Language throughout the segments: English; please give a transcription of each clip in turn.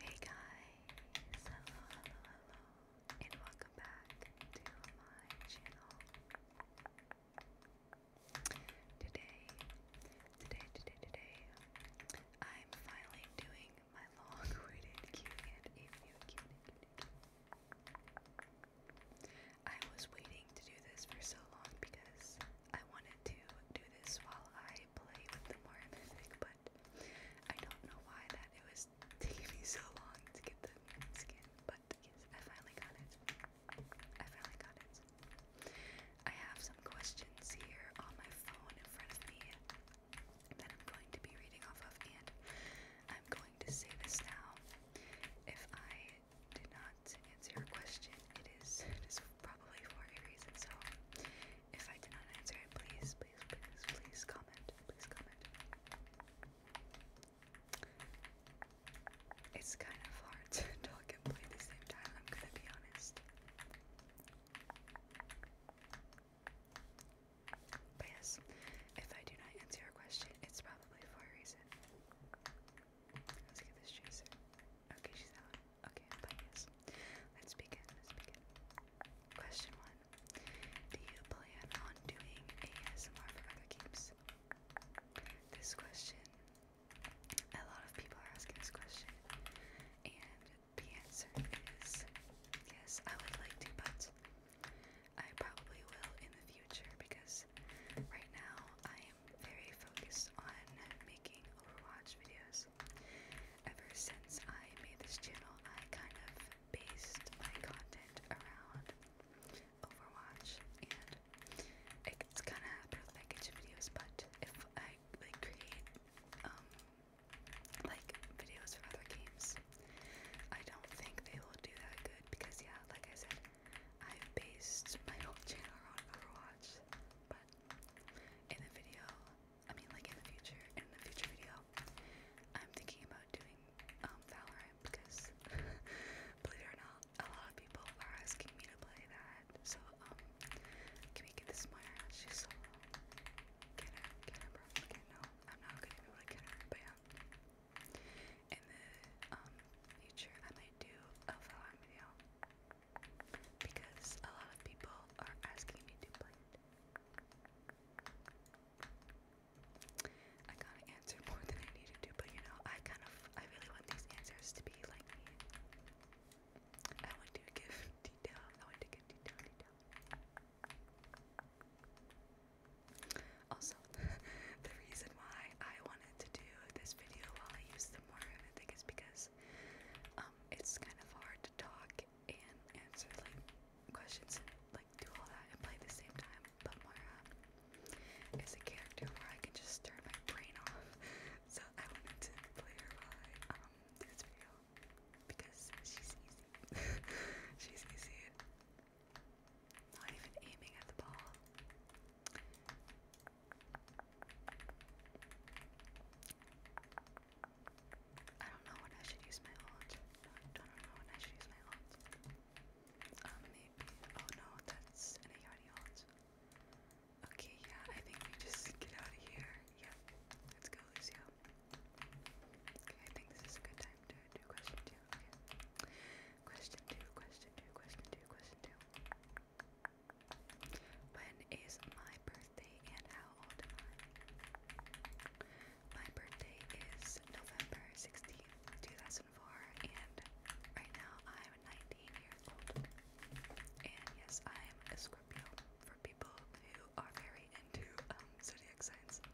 Hey guys, hello, hello, hello, and welcome back to my channel. Today, today, today, today, I'm finally doing my long-awaited Q&A video. I was waiting to do this for so long because I wanted to do this while I play with the more music, but I don't know why that it was taking me so long to get the skin. But I finally got it. I finally got it. I have some questions here on my phone in front of me that I'm going to be reading off of, and I'm going to say this now. If I did not to answer your question, it is, it is probably for a reason. So if I did not answer it, please, please, please, comment. Please comment. It's kind of hard to talk and play at the same time, I'm gonna be honest. But yes, if I do not answer your question, it's probably for a reason. Let's get this chaser. Okay, she's out. Okay, i yes. Let's begin. Let's begin. Question one. Do you plan on doing ASMR for other games? This question a lot of people are asking this question. And the answer is yes, I would like to, but I probably will in the future because right now I am very focused on making Overwatch videos. Ever since I made this channel, I kind of based my content around Overwatch, and it's kind of happened with my videos. But if I like create um like videos for other games, I don't think they will do that good because yeah, like I said, i based my whole channel around Overwatch, but in the video, I mean like in the future, in the future video, I'm thinking about doing um, Valorant because, believe it or not, a lot of people are asking me to play that. So, um, can we get this Myra? She's so low. I'm not gonna be but yeah. In the um, future, I might do a Valorant video because a lot of people are asking me to play it. I kind of answered more than I needed to, but you know, I kind of, I really want these answers to be like me. I want to give detail. I want to give detail, detail. Also, the reason why I wanted to do this video while I use the even more, and I think it's because um, it's kind of hard to talk and answer like questions and like do all that and play at the same time. But Mara um, is a character where I can just turn my brain off, so I wanted to play her while I um, do this video because she's easy. she's easy. Not even aiming at the ball. I don't know when I should use my ult. I don't know when I should use my ult. Um, maybe. Oh no, that's an Ayati ult. Okay, yeah, I think we just get out of here. Yeah, let's go, Lucio. Okay, I think this is a good time to do question two. Question two, question two, question two, question two. When is my birthday and how old am I? My birthday is November 16th, 2004, and right now I'm 19 years old. And yes, I'm a Scorpio for people who are very into um, zodiac signs.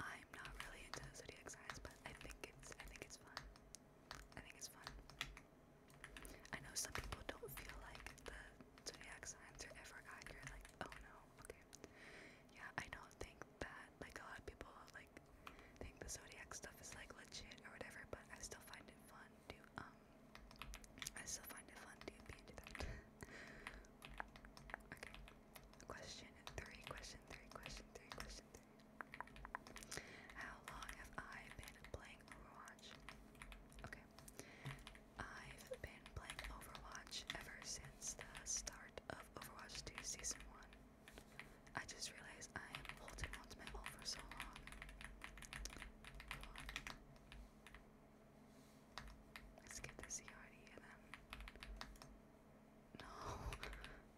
I'm not really into zodiac signs, but I think it's I think it's fun. I think it's fun. I know some people don't feel like the zodiac signs are ever accurate, like, oh no, okay. Yeah, I don't think that, like, a lot of people, like, think the zodiac stuff is, like, legit or whatever, but I still find it fun to, um, I still find it fun to be into that. okay, question three, question three, question three, question three. How long have I been playing Overwatch? Okay. I've been playing Overwatch ever since the start of Overwatch 2 Season 1. I just realized I am holding on to my all for so long. Let's get this Yachty and then. No,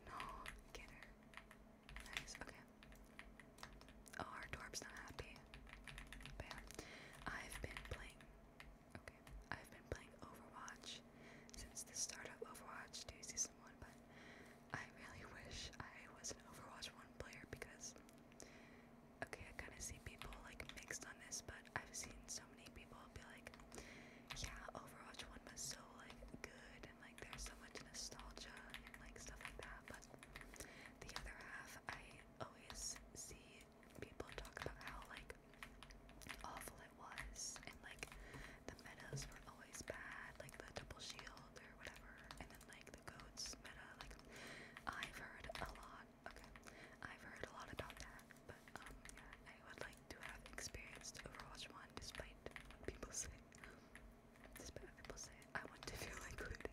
no, get her. Nice, okay. Oh, our dwarf's not happy. But I've been playing. Okay, I've been playing Overwatch since the start of Overwatch 2 Season 1, but I really wish I was an Overwatch 1 player because. Okay, I kind of see people like mixed on this, but I've seen so many people be like, yeah, Overwatch 1 was so like good and like there's so much nostalgia and like stuff like that, but the other half, I always see people talk about how like awful it was, and like the metas were always bad, like the double shield or whatever, and then like the goats meta. Like I've heard a lot. Okay, I've heard a lot about that, but um, yeah, I would like to have experienced Overwatch One, despite what people say people say I want to feel included.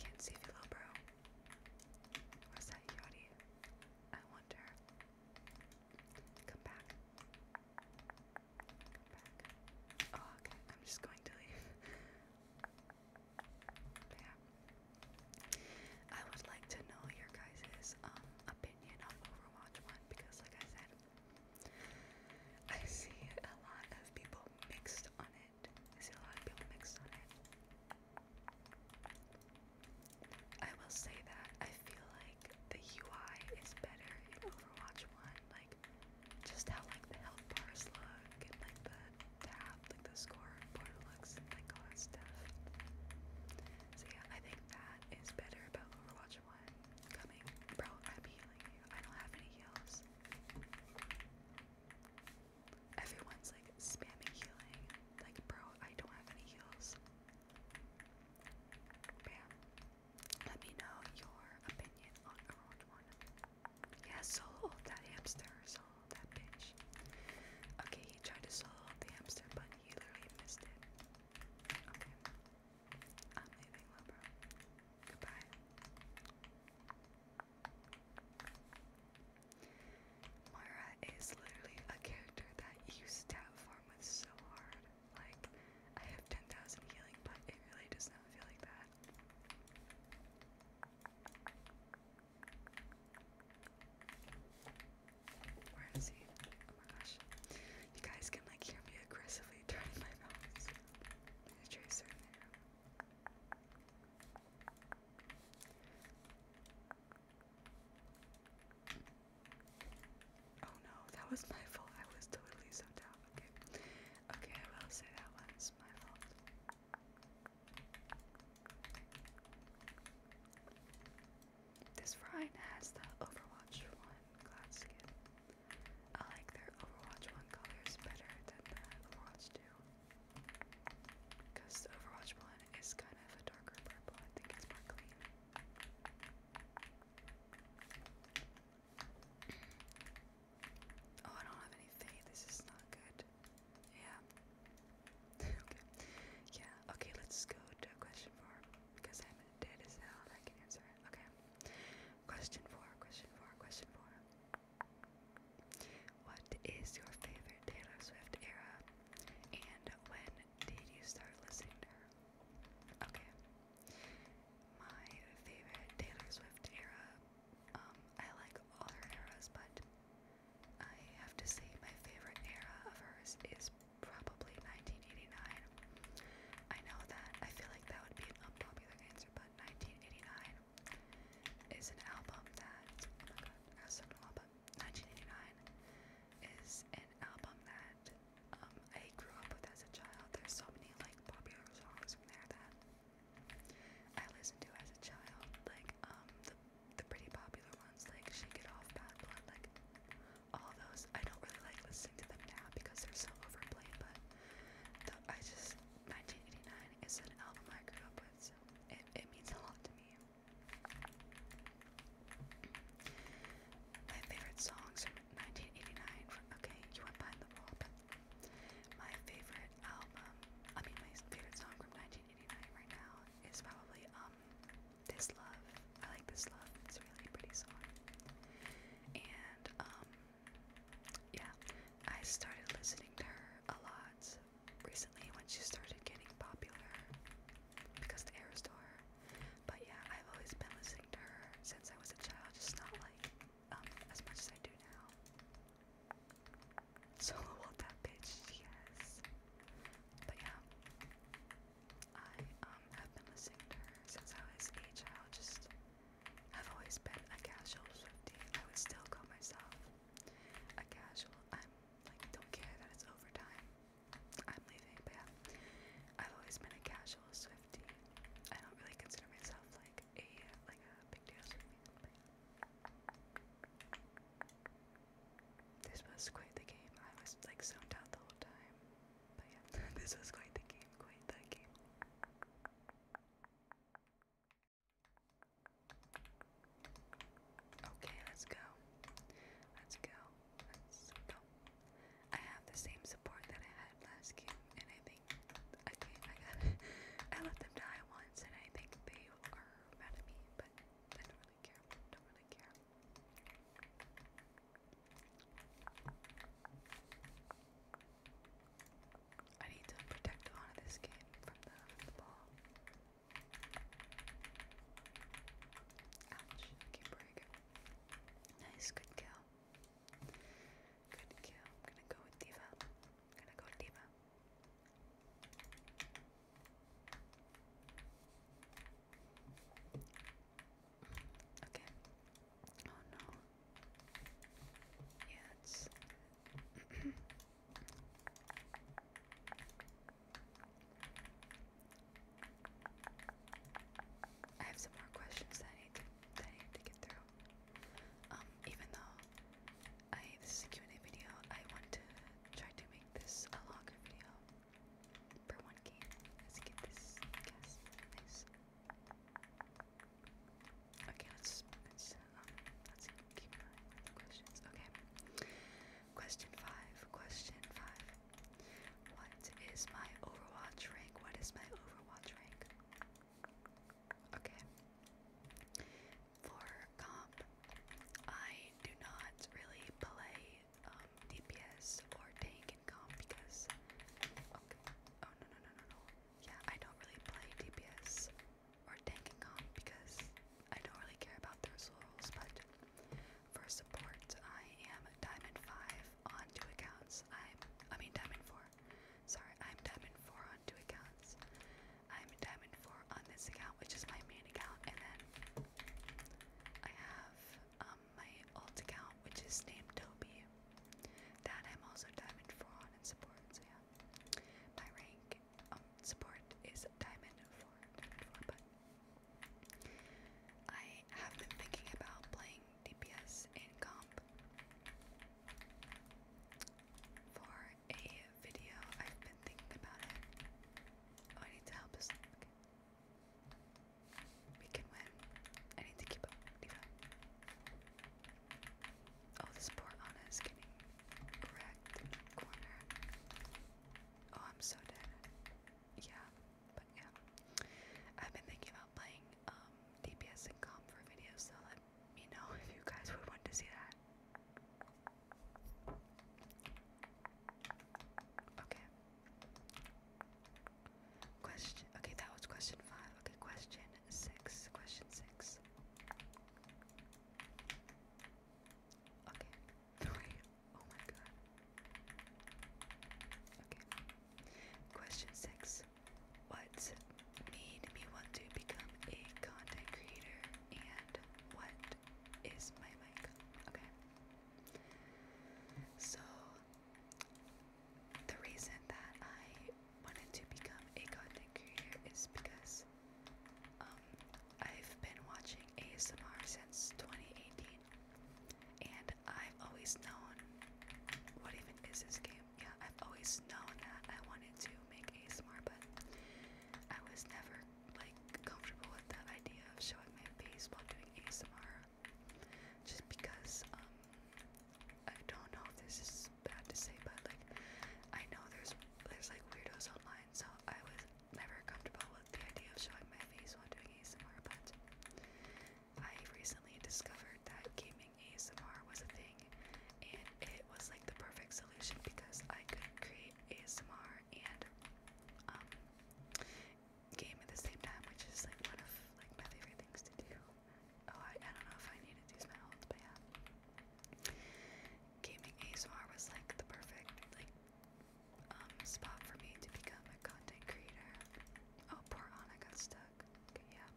Can't see you bro. What's that yachty? I wonder. Come back. Oh, okay. I'm just going to leave. yeah. I would like to know your guys' um, opinion on Overwatch 1 because like I said, I see a lot of people mixed on it. see a lot of people mixed on it. I will say that I feel like the UI is better in Overwatch 1. Like, just how like the health bars look and like the tab, like the score board looks like all that stuff. So yeah, I think that is better about Overwatch much coming. Bro, I'd healing you. I don't have any heals. Everyone's like spamming healing. Like, bro, I don't have any heals. Bam. Let me know your opinion on Overwatch 1. Yeah, that hamster, solo that bitch. Okay, he tried to solo the hamster, but he literally missed it. Okay. I'm leaving, Libro. Goodbye. Moira is literally a character that you stab for with so hard. Like, I have 10,000 healing, but it really does not feel like that. Where is he? gosh. You guys can like hear me aggressively turning my mouse. Oh no, that was my fault. I was totally zoned out. Okay. Okay, I will say that was my fault. This Rhine has the Overwatch 1 glass skin. I like their Overwatch 1 colors better than the Overwatch 2. Because the Overwatch 1 is kind of a darker purple, I think it's more clean. Oh, I don't have any faith. This is not good. Yeah. okay. Yeah. Okay. Let's go to question four because I'm dead as hell I can answer it. Okay. Question four, question four, question four. What is your favorite Taylor Swift era? And when did you start listening to her? Okay. My favorite Taylor Swift era, um, I like all her eras, but I have to say my favorite era of hers is probably 1989. I know that I feel like that would be an unpopular answer, but 1989 is an album that oh my god, I was talking a lot, but 1989 is an album that um, I grew up with as a child. There's so many like popular songs from there that I listened to as a child, like um the the pretty popular ones like Shake It Off, Bad Blood, like all those. I don't really like listening to them now because they're so overplayed, but I just 1989 is an album I grew up with, so it, it means a lot to me. My favorite songs from 1989. okay, you went behind the wall, my favorite album, I mean, my favorite song from 1989 right now is probably um this Love. I like This Love. It's a really pretty song. And, um, yeah, I started listening to her a lot recently when she started getting popular because of the Aerostar. But yeah, I've always been listening to her since I was a child, just not like um, as much as I do now. Solo what that bitch, yes. But yeah, I um, have been listening to her since I was a child. Just I've always been a casual Swifty. I would still call myself a casual. I'm like don't care that it's overtime. I'm leaving, but yeah, I've always been a casual Swifty. I don't really consider myself like a like a big deal Swifty. But yeah. This was quite the game. I was like zoned out the whole time. But yeah, this was quite the game, quite the game. Okay, let's go. Let's go. Let's go. I have the same support that I had last game, and I think okay, I got I let them die once, and I think they are mad at me, but don't really care. Don't really care. I need to protect the honor of this game from the, ball. Ouch. Keep break. Nice, good kill. Good kill. I'm gonna go with Diva. I'm gonna go Diva. Okay. Oh no. Yeah, it's. I have some more questions that I need to, that I need to get through. Um, even though I this is a Q&A video, I want to try to make this a longer video for one game. Let's get this gas. Nice. Okay, let's let um let's keep an eye questions. Okay. Question five. Question five. What is my Overwatch rank? What is my Overwatch rank? Okay. For comp, I do not really play um, DPS or tank and comp because. Okay. Oh no no no no no. Yeah, I don't really play DPS or tank and comp because I don't really care about those roles. But for support, I am diamond five on two accounts. I'm I mean diamond four. Sorry, I'm diamond four on two accounts. I'm diamond four on this account, which is my main account, and then I have um, my alt account, which is named Toby. That I'm also diamond four on in support. So yeah, my rank um, support is diamond four, But I have been thinking about playing DPS in comp for a video. I've been thinking about it. Oh, I need to help us. We can win. I need to keep up, Oh, this poor Anna is getting wrecked corner. Oh, I'm so dead. Yeah, but yeah. I've been thinking about playing um, DPS and comp for videos, so let me know if you guys would want to see that. Okay, Question. Okay, that was question five. Okay, question six. Question six. Okay. Wait. Oh my god. Okay. Question six. What made me want to become a content creator and what is my mic? Okay. So the reason that I wanted to become a content creator is because um, I've been watching ASMR since 2018 and I've always known what even is this game? Yeah, I've always known that I wanted to make ASMR, but I was never like comfortable with the idea of showing my face while doing ASMR just because um I don't know if this is bad to say, but like I know there's there's like weirdos online, so I was never comfortable with the idea of showing my face while doing ASMR, but I recently discovered that gaming ASMR was a thing and it was like the perfect solution because I could create ASMR and um game at the same time, which is like one of like my favorite things to do. Oh, I, I don't know if I needed to use my ult, but yeah. Gaming ASMR was like the perfect like um spot for me to become a content creator. Oh, poor Anna got stuck. yeah.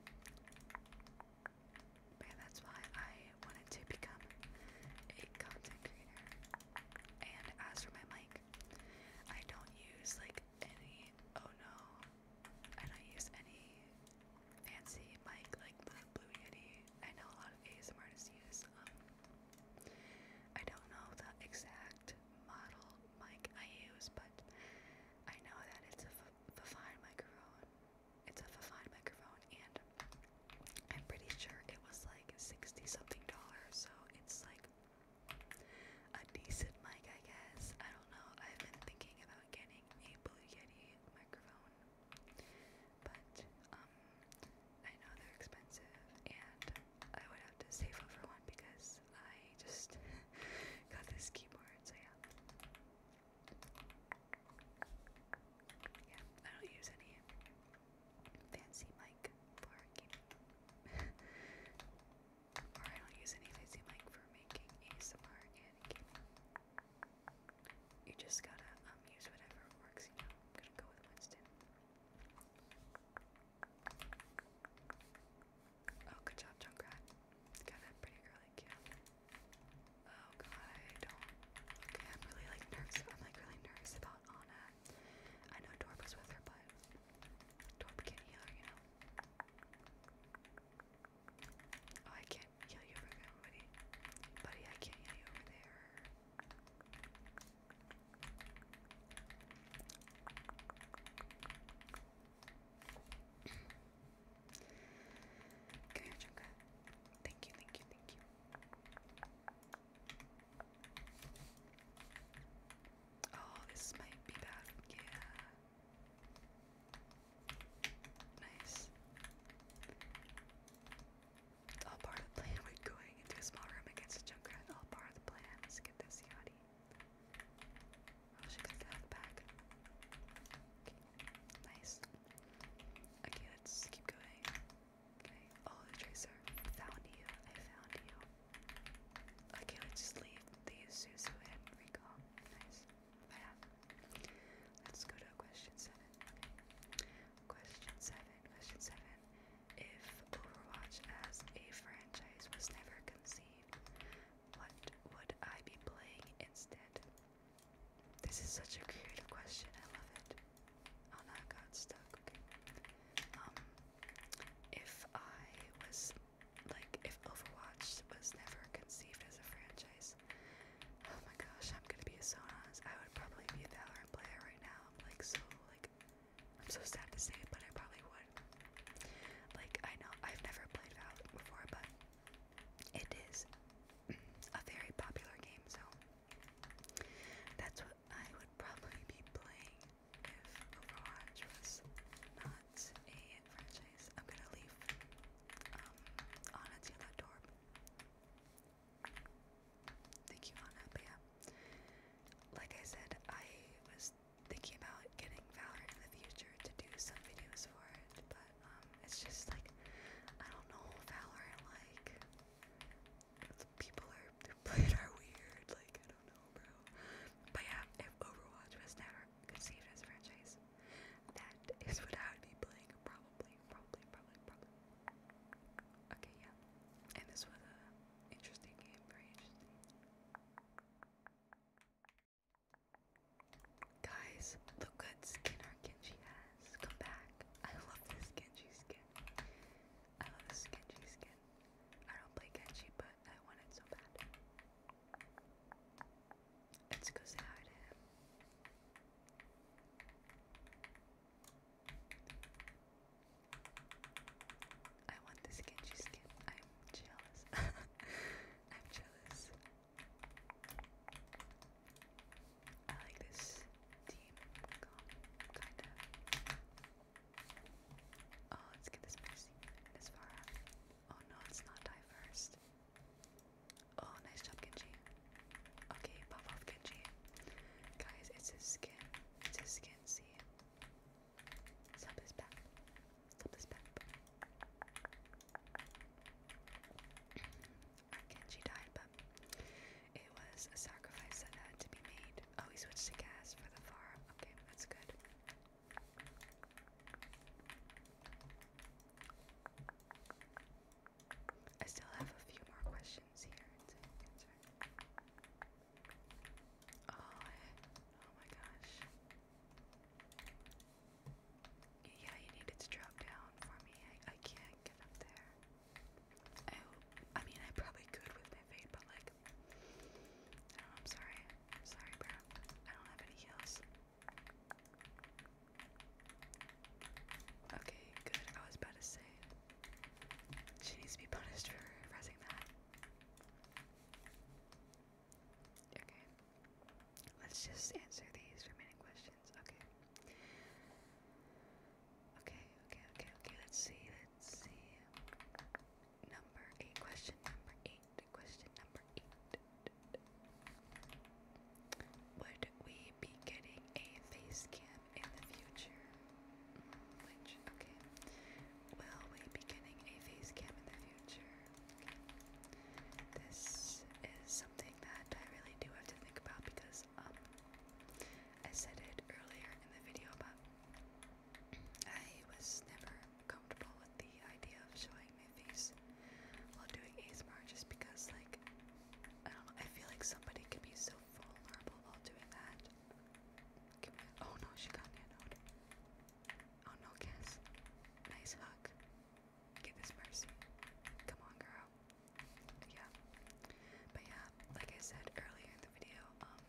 But that's why I wanted to become a content creator. And as for my mic, I don't use like like any oh no. I don't use any fancy mic like the Blue Yeti. I know a lot of ASMR artists use. Um, I don't know the exact model mic I use, but I know that it's a Fafine microphone. It's a Fafine microphone, and I'm pretty sure it was like sixty something dollars. So it's like a decent mic, I guess. I don't know. I've been thinking about getting a Blue Yeti microphone, but um, I know they're expensive, and I would have to save up for one because I just got this keyboard. So yeah, yeah. I don't use any fancy mic for gaming. or I don't use any lazy mic for making ASMR and gaming. You just gotta um use whatever works, you know. I'm gonna go with Winston. Oh, good job, Junkrat. Got that pretty early, yeah. Oh god, I don't. Okay, I'm really like nervous. I'm like really nervous about Anna. I know Dorp was with her, but Oh, I can't heal you buddy. Buddy, I can't heal you over there. Come here, Thank you, thank you, thank you. Oh, this might be bad. Yeah. Nice. All part of the plan. We're going into a small room against a Junkrat. All part of the plan. Let's get this Yachty. Oh, she could have back. Okay. Nice. Okay, let's keep going. Okay. Oh, the Tracer. Found you. I found you. Okay, let's just leave the Suzu and recall. Nice. Let's go to question seven. Question seven. Question seven. If Overwatch as a franchise was never conceived, what would I be playing instead? This is such a creative question. I love it. Oh, no, I got stuck. Um, if I was like if Overwatch was never conceived as a franchise. Oh my gosh, I'm gonna be a honest. I would probably be a Valorant player right now. I'm like so like I'm so sad to say it, but I probably would. Like I know I've never played Valorant before, but it is a very popular game, so that's what I would probably be playing if Overwatch was not a franchise. I'm gonna leave um, Anna to that door. Thank you, Anna. But yeah, like I said, I was thinking about getting Valorant in the future to do some videos for it, but um, it's just like I don't know Valorant. Like people are they are weird. Like I don't know homebrew. But yeah, if Overwatch was never conceived as a franchise, that is what I would be playing probably, probably, probably, probably. Okay, yeah. And this was an interesting game, very interesting. Guys, look what skin our Genji has. Come back. I love this Genji skin. I love this Genji skin. I don't play Genji, but I want it so bad. Let's go say hi to him. I want this Genji skin. I'm jealous. I'm jealous. I like this team, Oh, let's get this messy as far Oh no, it's not die first. Oh, nice job, Genji. Okay, pop off Genji. Guys, it's his skin. It's his skin, see? Sub his back. Sub his back. Our Genji died, but it was a sacrifice that had to be made. Oh, he switched to gas for the farm. Okay, that's good. I still have a few more questions here Oh, oh my gosh. Yeah, you needed to drop down for me. I, I can't get up there. I, oh, I mean, I probably could with my fade, but like, Oh, I am sorry. sorry, bro. I don't have any heals. Okay, good. I was about to say, she needs to be punished for pressing that. Okay, let's just answer these remaining questions. Okay. Okay, okay, okay, okay. Let's see, let's see number eight. Question number eight. Question number eight. Would we be getting a face cam in the future? Which, okay. Will we be getting a face cam in the future? This is something that I really do have to think about because, um, I said it earlier in the video, but I was never comfortable with the idea of showing my face while doing ASMR just because, like, I don't know, I feel like somebody could be so vulnerable while doing that. oh no, she got nanoed. Oh no, Cass. Nice hug. Get this mercy. Come on, girl. Yeah. But yeah, like I said earlier in the video, um,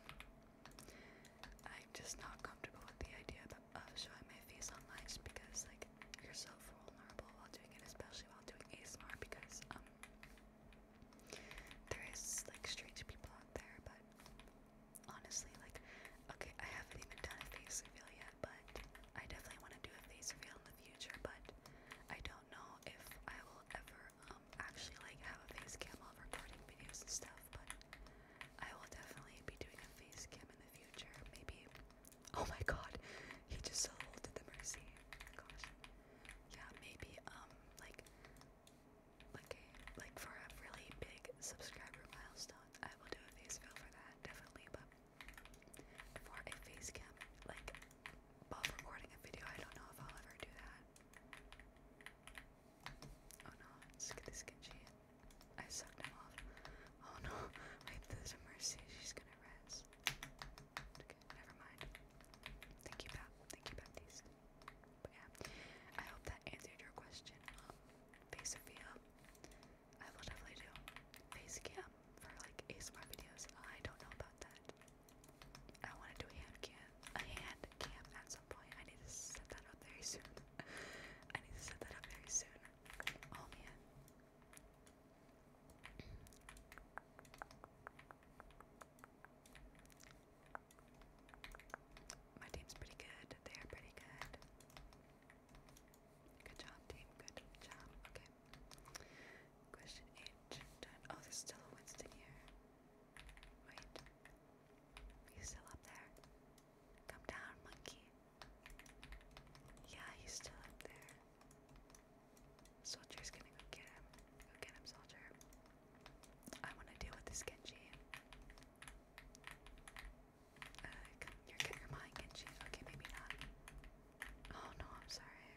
I'm just not comfortable with the idea of showing my face online just because like you're so vulnerable while doing it, especially while doing ASMR because um there is like strange people out there, but honestly like okay, I haven't even done a face reveal yet, but I definitely want to do a face reveal in the future, but I don't know if I will ever um actually like have a face cam while recording videos and stuff, but I will definitely be doing a face cam in the future. Maybe. Oh my god, he just so the mercy. Yeah, maybe um like like like for a really big subscriber milestone, I will do a face for that definitely. But for a face like while recording a video, I don't know if I'll ever do that. Oh no, let's get this I sucked him off. Oh no, wait, there's mercy. She's gonna res. never mind. Thank you, Pat. Thank you, Baptiste. But yeah, I hope that answered your question. Um, face Sophia. I will definitely do face cam for like ASMR videos. I don't know about that. I want to do a hand cam, a hand cam at the I need to set that up very soon. I need to set that up very soon. Oh man. My team's pretty good. They are pretty good. Good job, team. Good job. Okay. Question eight done. Oh, there's still a Winston here. Wait. He's still up there. Come down, monkey. Yeah, he's still up there. Soldier's gonna go get him. Go get him, soldier. I wanna deal with this Genji. Uh, come, you're, you're Okay, maybe not. Oh no, I'm sorry.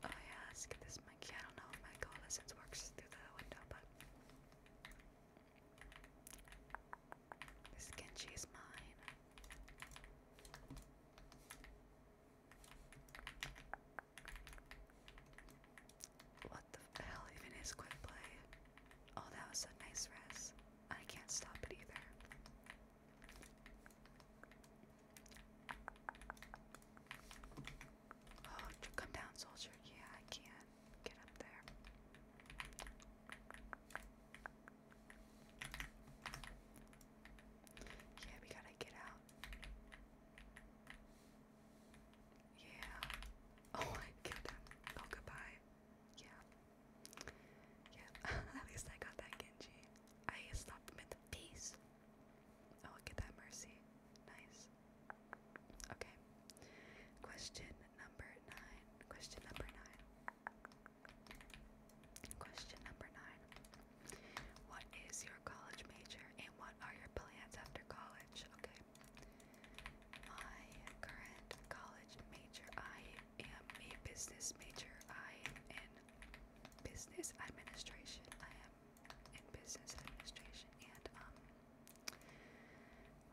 Oh yeah, let's get this monkey. I don't know if my coalescence works through the window, but this Genji is mine. What the hell even is quick play? Oh, that was a nice res. I can't stop it either. Oh, come down, soldier. Yeah, I can. Get up there. Yeah, we gotta get out. Yeah. Oh, I killed Oh, goodbye. Yeah. Yeah, at least I got that Genji. I stopped him in the face. Oh, get that mercy. Nice. Okay. Question number nine. Question number nine. Question number nine. What is your college major and what are your plans after college? Okay. My current college major, I am a business major. I am in business administration. I am in business administration and um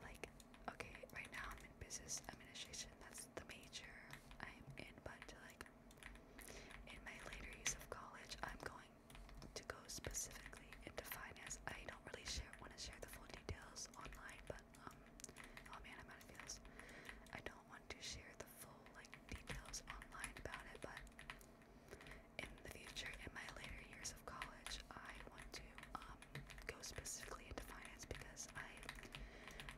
like okay right now I'm in business administration that's the major I'm in but like in my later years of college I'm going to go specifically into finance I don't really share want to share the full details online but um oh man I'm out of details I don't want to share the full like details online about it but in the future, in my later years of college, I want to um, go specifically into finance because I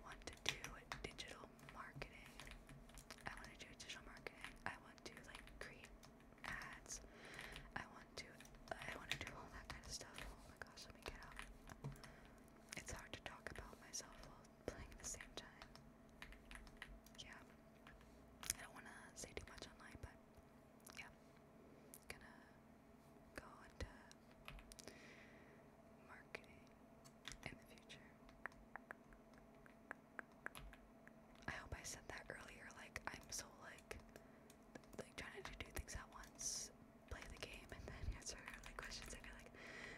want to do digital marketing. I want to do digital marketing. I want to like create ads. I want to. I want to do all that kind of stuff. Oh my gosh, let me get out. It's hard to talk about myself while playing at the same time. Yeah. I don't want to say too much online, but yeah. Gonna go into marketing in the future. I hope I said that earlier, like I'm so like like trying to do things at once, play the game and then answer like questions I feel like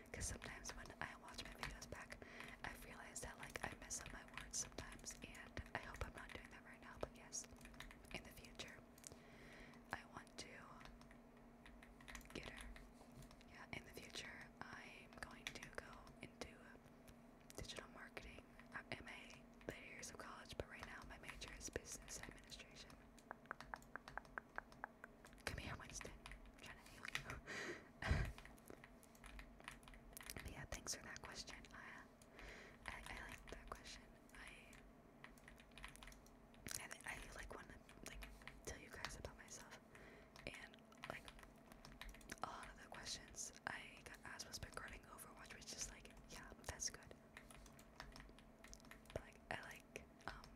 because sometimes when I watch my videos back i realize that like I mess up my words sometimes and I hope I'm not doing that right now, but yes, in the future, I want to get her. Yeah, in the future, I'm going to go into digital marketing. I'm MA later years of college, but right now my major is business administration. Come here, Winston. trying to heal you. yeah, thanks for that question. I, I, I like that question. I I, I like want to like tell you guys about myself, and like a lot of the questions I got asked was regarding Overwatch, which is like, yeah, that's good. But like I like um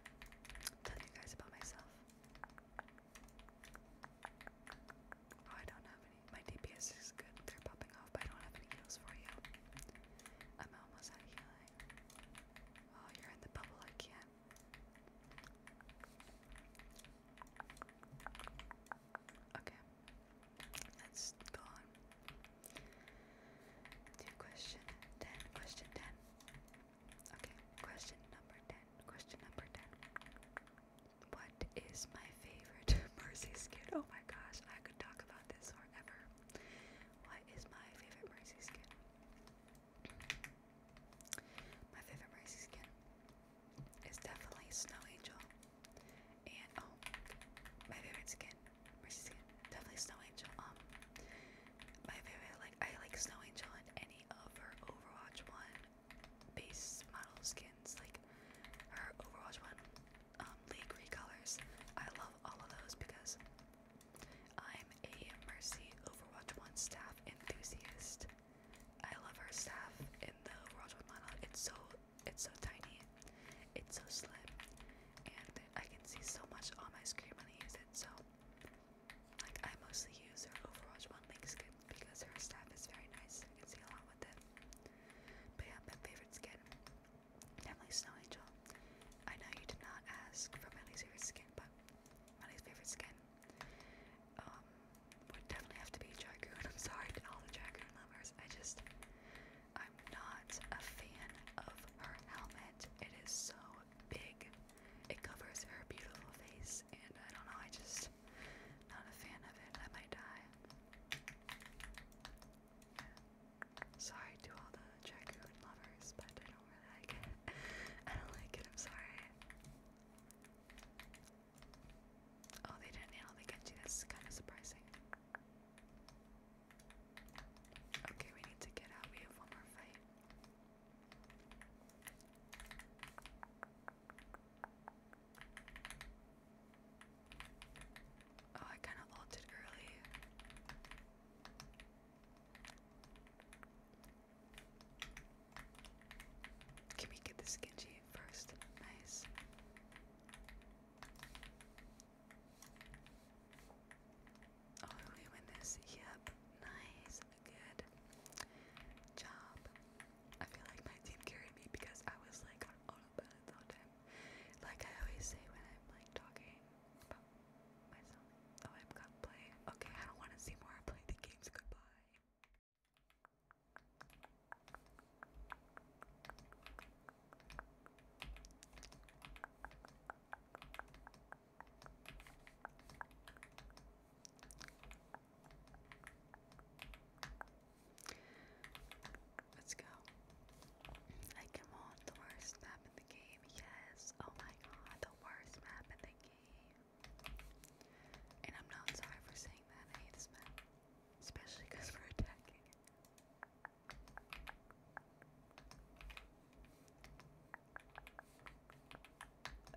telling you guys about myself. Oh, I don't have any. My DPS is good. They're popping off, but I don't have any heals for you. I'm almost out of healing. Oh, you're in the bubble. I Okay. That's gone. question 10. Question 10. Okay. Question number 10. Question number 10. What is my favorite Mercy skin? Oh my gosh, I could talk about this forever. What is my favorite Mercy skin? My favorite Mercy skin is definitely Snow Angel. And oh, my favorite skin, Mercy skin, definitely Snow Angel. Um, my favorite, like I like Snow Angel in any of her Overwatch one base model skins, like her Overwatch one, um, League recolors. I love all of those because I'm a Mercy Overwatch one staff enthusiast. I love her staff in the Overwatch one model. It's so it's so tiny, it's so slim, and I can see so much on my screen when I use it. So. Like I mostly use her Overwatch 1 League skin because her staff is very nice. I can see a lot with it. But yeah, my favorite skin, definitely Snow Angel. I know you did not ask for my least favorite skin, but my least favorite skin um, would definitely have to be Dragoon. I'm sorry to all the Dragoon lovers. I just, I'm not a fan of her helmet. It is so big. It covers her beautiful face, and I don't know, I just, not a fan of it. I might die. Sorry to all the dragoon lovers, but I don't really like it. I don't like it, I'm sorry. Oh, they didn't nail the Genji, that's kind of surprising. Okay, we need to get out, we have one more fight. Oh, I kind of ulted early. Can we get the skinji first? Nice. Oh, we win this. Yep. Nice. Good job. I feel like my team carried me because I was like open Like I always say when I'm like talking about myself. Oh, I've got to play. Okay, I don't want to see more. I play the games. Goodbye. Let's go. I come on, the worst map in the game. Yes. Oh my god, the worst map in the game. And I'm not sorry for saying that. I hate this map. Especially because we're attacking.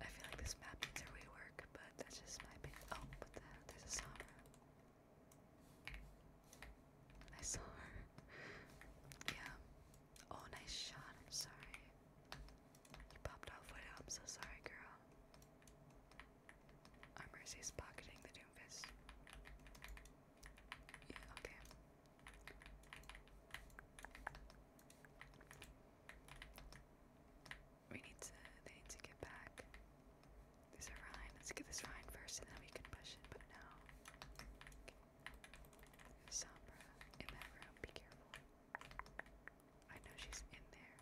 I feel like this map needs a rework, but that's just my opinion. Oh, but the, there's a sauna. I saw her. Yeah. Oh, nice shot. I'm sorry. You popped off with I'm so sorry, girl. Our Mercy's pocketing the Doomfist. Yeah, okay. We need to, they need to get back. There's a Rhine. Let's get this Rhine first and then we can push it, but no. Okay. in that room, be careful. I know she's in there.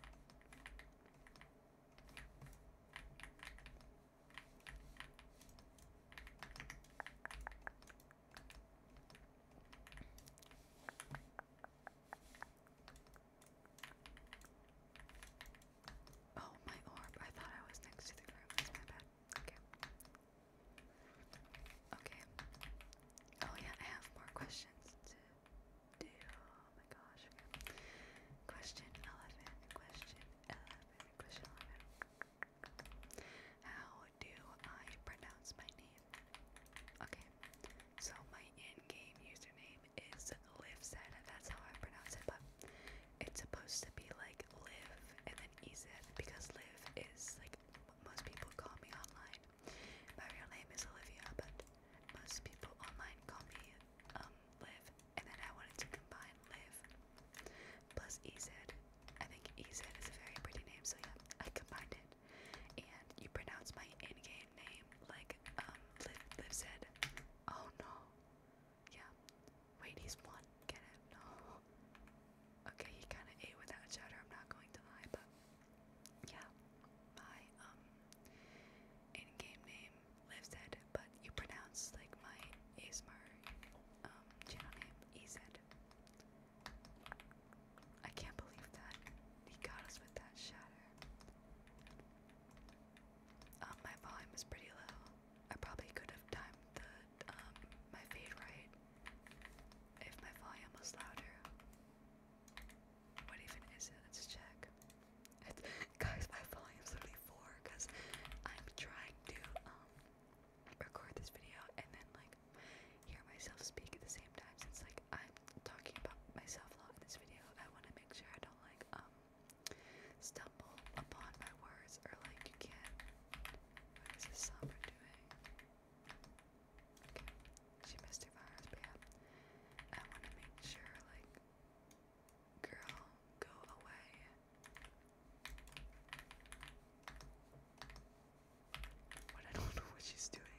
Oh, my orb. I thought I was next to the ground. That's my bad. Okay. Okay. Oh, yeah, I have more questions to do. Oh my gosh. Question 11. Question 11. Question 11. How do I pronounce my name? Okay. So, my in game username is live said, that's how I pronounce it, but it's supposed to be like live and then ease because live is like most people call me online. My real name is Olivia, but most people online call me um live and then I wanted to combine live plus ease I think Ezed is a very pretty name, so yeah, I combined it. And you pronounce my name name like um Liv, said. Oh no. Yeah. Wait, he's one. Get it? No. Okay, he kind of ate without cheddar. I'm not going to lie, but yeah, my um in-game name Liv said, but you pronounce like my ASMR um channel name EZ. I can't believe that he got us with that shatter. Um, my volume is pretty low. I probably could have timed the um, my fade right if my volume was louder. What even is it? Let's check. It's, guys, my volume's literally four because I'm trying to um record this video and then like hear myself speak at the same time since like I'm talking about myself a lot in this video. I want to make sure I don't like um stumble upon my words or like you can. What is this somber doing? Okay, she missed her flowers, but I want to make sure, like, girl, go away. But I don't know what she's doing.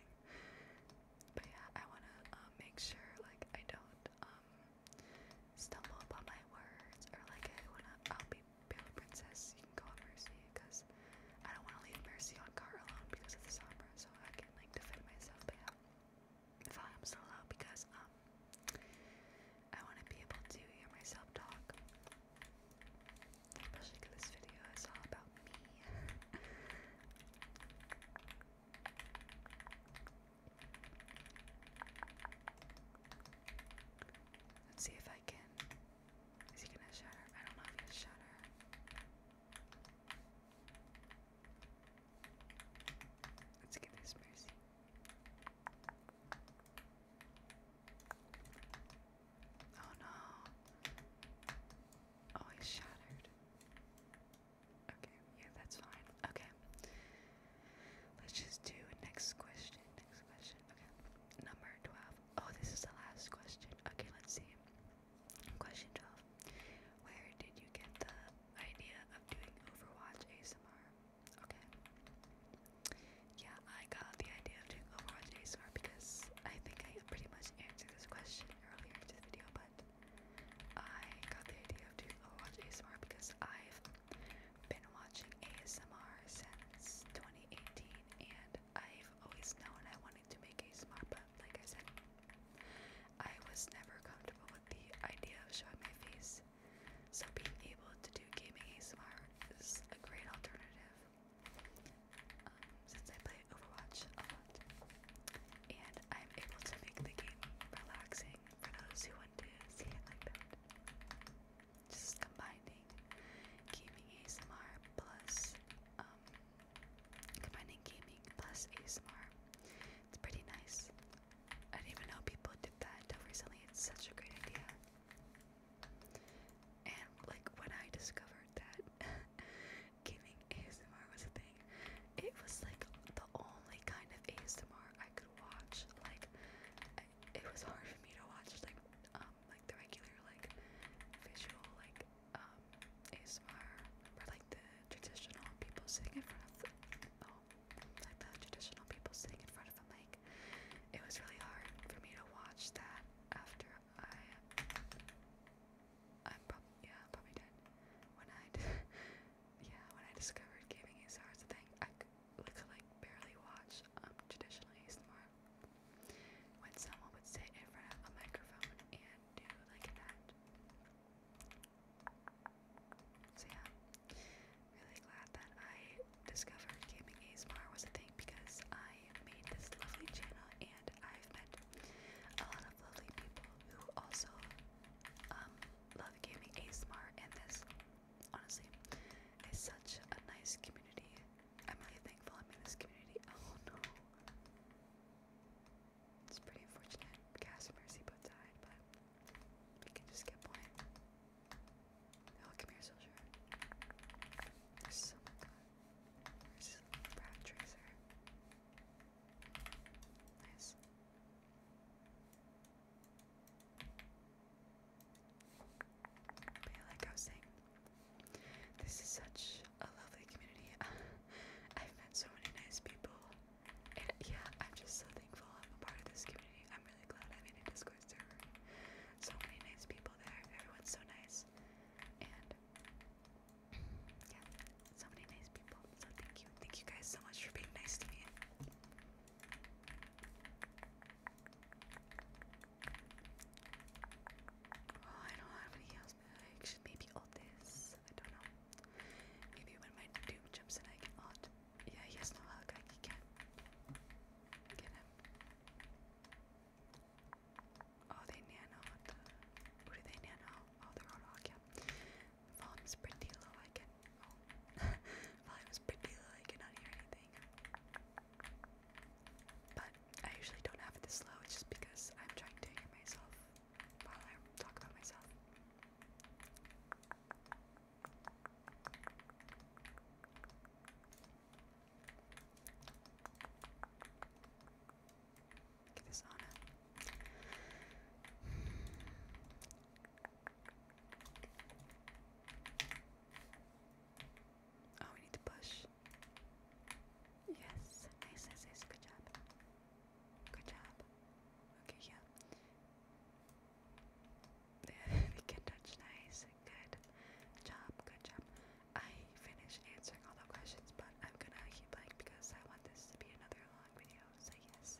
But yeah, I want to um, make sure, like, I don't um stumble upon my words or like, hey, wanna, I'll be Bailey Princess, you can call Mercy because I don't want to leave Mercy on car alone because of the Sombra so I can like defend myself, but yeah. I'm still out because um I want to be able to hear myself talk. Especially this video is all about me. Let's see if I can. Is he gonna shatter? I don't know if he's shatter. Let's get this mercy. Oh no. Oh, he's shattered. Okay, yeah, that's fine. Okay. Let's just do next question. Next question. Okay. Number 12. Oh, this is the last question. Okay, let's see. Question 12. Where did you get the idea of doing Overwatch ASMR? Okay. Yeah, I got the idea of doing Overwatch ASMR because I think I pretty much answered this question earlier in this video, but I got the idea of doing Overwatch ASMR because I've been watching ASMR since 2018 and I've always known I wanted to make ASMR, but like I said, I was never comfortable with the idea of showing my face. So being able to do gaming ASMR is a great alternative. Um, since I play Overwatch a lot, and I'm able to make the game relaxing for those who want to see it like that. Just combining gaming ASMR plus um combining gaming plus ASMR. It's pretty nice. I didn't even know people did that until recently. It's such a great idea. And like when I discovered that gaming ASMR was a thing, it was like the only kind of ASMR I could watch. Like it was hard for me to watch like um like the regular like visual like um ASMR like the traditional people sitting in front of the oh, like the traditional people sitting in front of the mic. It was really hard for me to watch that after I I'm probably yeah, i probably did one night yeah, when I discovered gaming ASMR was a thing, I could, could like barely watch um, traditional ASMR. When someone would sit in front of a microphone and do like that. So yeah, really glad that I discovered gaming ASMR was a thing because I made this lovely channel and I've met a lot of lovely people who also um, love gaming ASMR and this. Honestly, is such a nice community. I'm really thankful I'm in this community. Oh no. It's pretty unfortunate. Cass and died, but we can just get playing. Oh, here, soldier. There's some. There's a rat tracer. Nice. But yeah, like I was this is such a lovely community. I've met so many nice people. And yeah, I'm just so thankful I'm a part of this community. I'm really glad I made a Discord server. So many nice people there. Everyone's so nice. And yeah, so many nice people. So thank you. Thank you guys so much for being nice to me. Oh, I don't have any house bags. maybe all this. I don't know. Maybe when my doom jumps in, I can alt. Yeah, he has no hug. I can get him. Oh, they nano. Who they nano? Oh, they're all rock, oh, Volume's pretty low, I can oh. volume's pretty low, I cannot hear anything. But I usually don't have it this low, it's just because I'm trying to hear myself while I talk about myself. Get this on Oh, we need to push. Yes, nice, nice, Good job. Good job. Okay, yeah. we can touch nice. Good job, good job. I finished answering all the questions, but I'm gonna keep like because I want this to be another long video. So yes.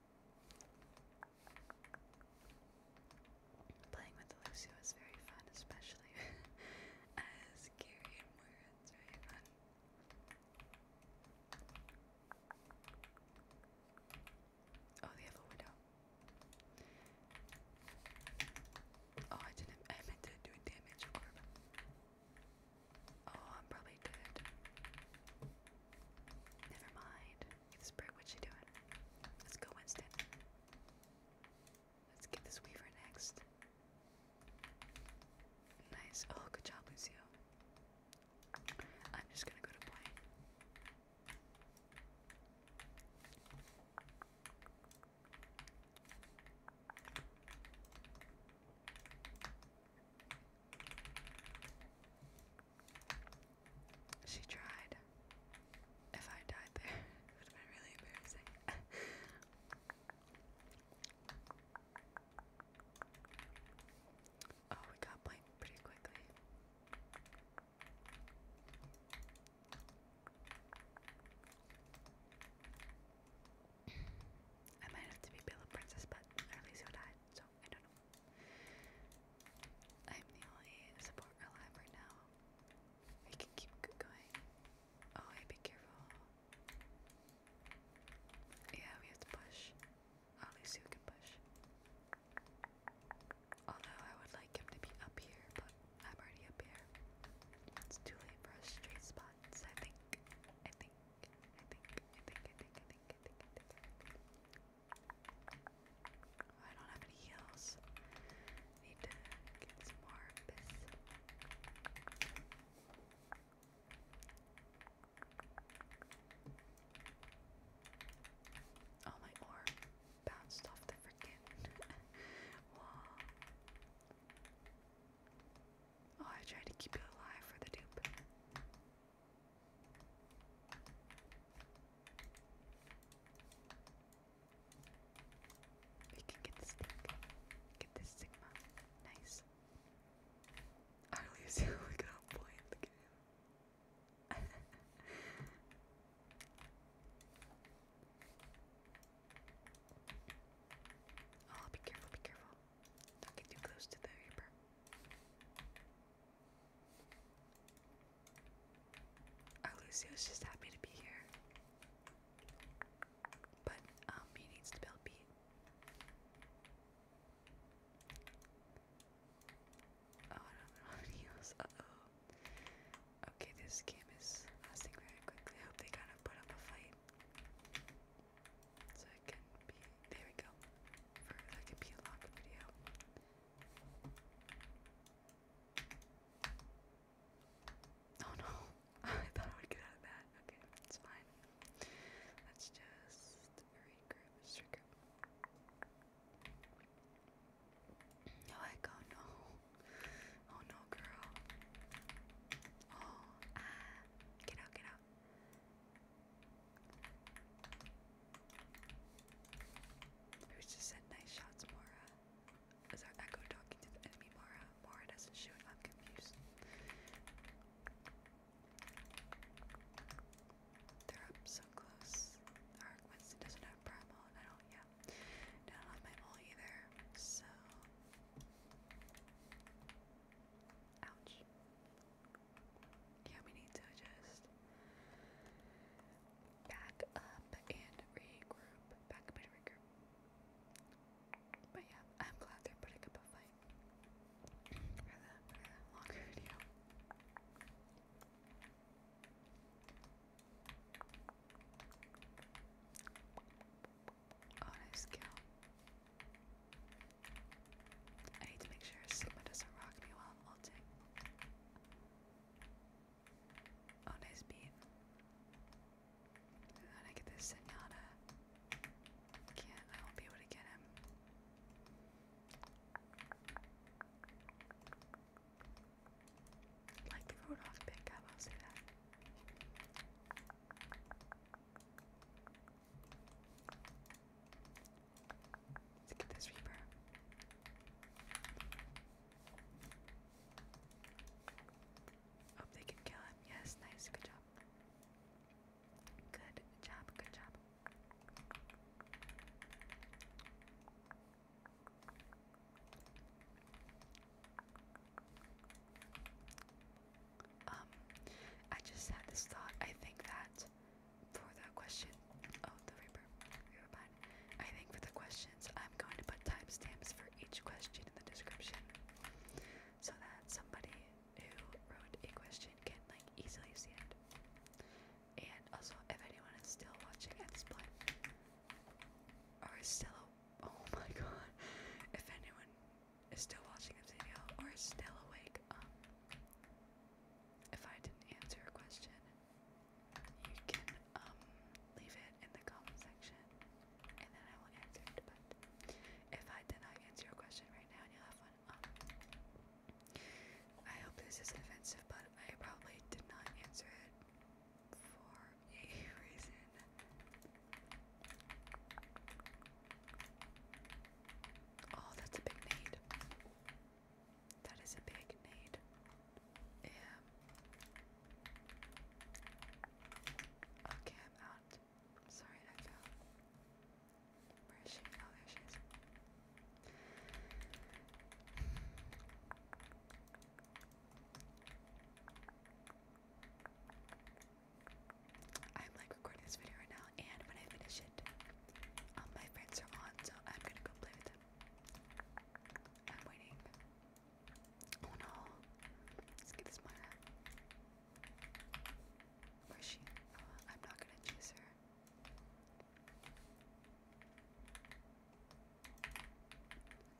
Playing with Lucio is very fun, especially as Gary and Moira. It's fun. Oh, they have window. Oh, I didn't. I meant to do damage Oh, I'm probably dead. Never mind. This brick, what's she doing? Let's go, Winston. Let's get this weaver next. Nice. Oh, good job, Lucio. I'm just gonna go to play. She tried. If I died there, it would have been really embarrassing. oh, we got blank pretty quickly. I might have to be Bella Princess, but at least who died, so I don't know. I'm the only support alive right now. We can keep going. Oh, be careful. Yeah, we have to push. at least you can push. Although I would like him to be up here, but I'm already up here. It's too late for us straight spots. I think. I think. I think. I think. I think. I think. I think. Oh, I don't have any heals. Need to get some more Oh, my orb bounced off the freaking wall. Oh, I tried to keep it alive for the dupe. We can get the Get this Sigma. Nice. I really see how we got a Look at him. oh, be careful, be careful. Don't get too close to the reaper. Our Lucio's just happy to be here. But um he needs to build Pete. Oh, Uh-oh. Okay, this game is lasting very quickly. I hope they kind of put up a fight. So it can be there we go. For like a P-Lock video. Oh no, I thought I would get out of that. Okay, it's fine. Let's just regroup, let's regroup. No, oh, I go, no. Oh no, girl. Oh, ah. Get out, get out. Who's just said nice shots, Mora? Uh, Is our echo talking to the enemy Mora? Uh, Mora doesn't shoot, I'm confused. They're up so close. Our doesn't have primal, I don't, yeah. not have my all either, so. Ouch yeah, we need to just back up and regroup. Back up and regroup. But yeah, I'm glad they're putting up a fight for the, longer video. Oh, I need to make sure Sigma doesn't rock me while I'm ulting. Oh, nice beat. then I get this Zenyatta. Can't, I won't be able to get him. Like the Rudolph pick up, I'll say that let get this Reaper. Hope they can kill him. Yes, nice. Good job. Good job. Good job. Um, I just had this thought. I think that for the question. Oh, the Reaper. Never mind. I think for the questions, I'm going to put timestamps for each question in the description so that somebody who wrote a question can like easily see it. And also, if anyone is still watching at this point, or is still, oh my god, if anyone is still watching this video or is still awake, um, if I didn't answer a question, you can um leave it in the comment section and then I will answer it. But if I did not answer your question right now and you have one, um I hope this isn't offensive, but I probably did not answer it for a reason. Oh, that's a big need. That is a big need. Yeah. Okay, I'm out. Sorry, I fell. Where is she? Oh, there she is. I'm like recording this video right now and when I finish it, um, my friends are on, so I'm gonna go play with them. I'm waiting. Oh no! Let's get this Myra. Where's she? Uh, I'm not gonna choose her.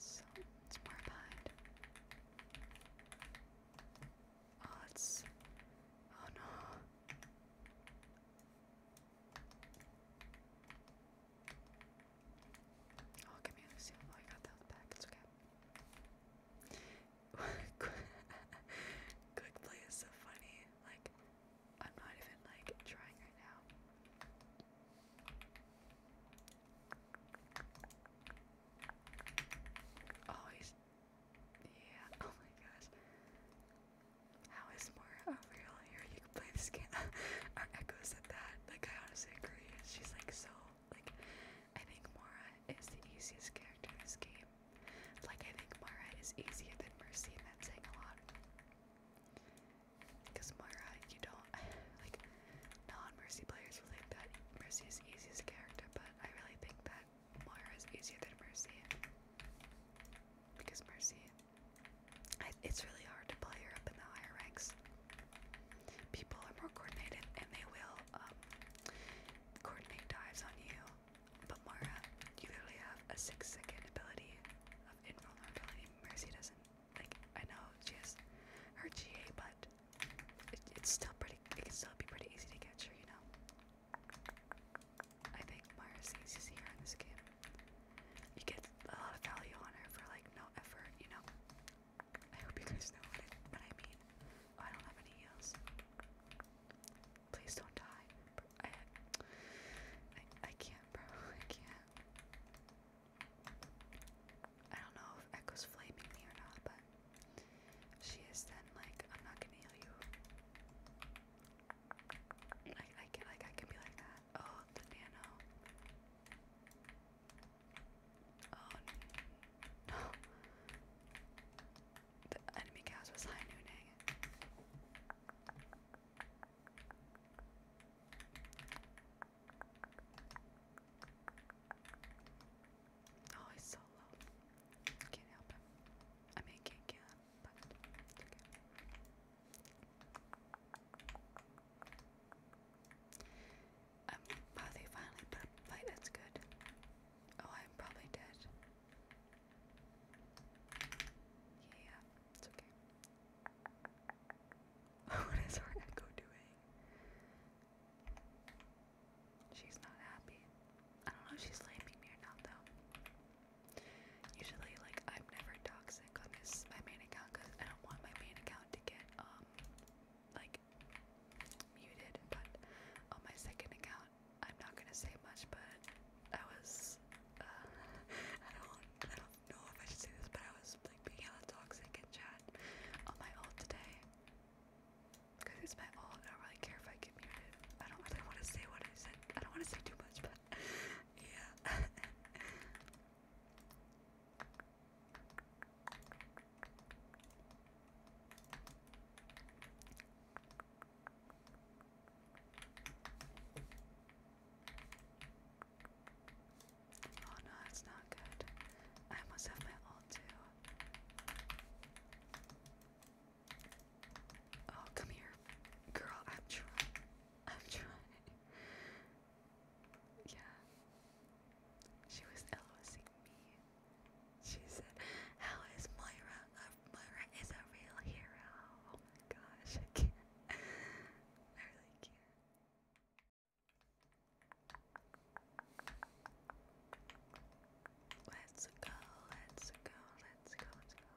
So it's more behind. Oh, it's. Oh no. Oh, give me a Oh, you got that back. It's okay. Quick play is so funny. Like, I'm not even like trying right now. Oh, he's. Yeah, oh my gosh. How is Mora overall here? You can play this game. Our Echo said that. Like I honestly agree. She's like so like I think Mora is the easiest character in this game. Like I think Mara is easier than Mercy and that's saying a lot. Because Mara, you don't like non-mercy players will think that Mercy is the easiest character, but I really think that Mara is easier than Mercy. Because Mercy, it's really hard to play her up in the higher ranks. People are more coordinated and they will um, coordinate dives on you. But Mara, you literally have a six second ability of invulnerability. Mercy doesn't. Like, I know she has her GA, but it's still pretty, it can still be pretty easy to catch her, you know? I think Mara sees is here in this game. You get a lot of value on her for like no effort, you know. I hope you guys know what I, mean. Oh, I don't have any heals. Please don't die. I, I, can't, bro. I can't. I don't know if Echo's flaming me or not, but she is then like, I'm not gonna heal you. Like I can, like I can be like that. Oh, the nano. Oh no! The enemy cast was high nooning. Oh, he's so low. Can't help him. I mean, can't them, but um, finally put that's good. Oh, I'm probably dead. Yeah, it's okay. what is our echo doing? She's not happy. I don't know if she's sleeping me or not, though. Usually, like, I'm never toxic on this, my main account, because I don't want my main account to get, um, like, muted. But on my second account, I'm not gonna say much, but I was, uh, I don't, I don't know if I should say this, but I was, like, being hella toxic in chat on my alt today. Because it's my alt, I don't really care if I get muted. I don't really want to say what I said. I don't want to say too much, but yeah. Oh no, that's not good. I almost have my ult too. Oh, come here. Girl, I'm trying. I'm trying. Yeah. She was LOSing me. She said, How is Moira? Uh, Moira is a real hero. Oh gosh, I can't. I really can't. Let's go, let's go, let's go, let's go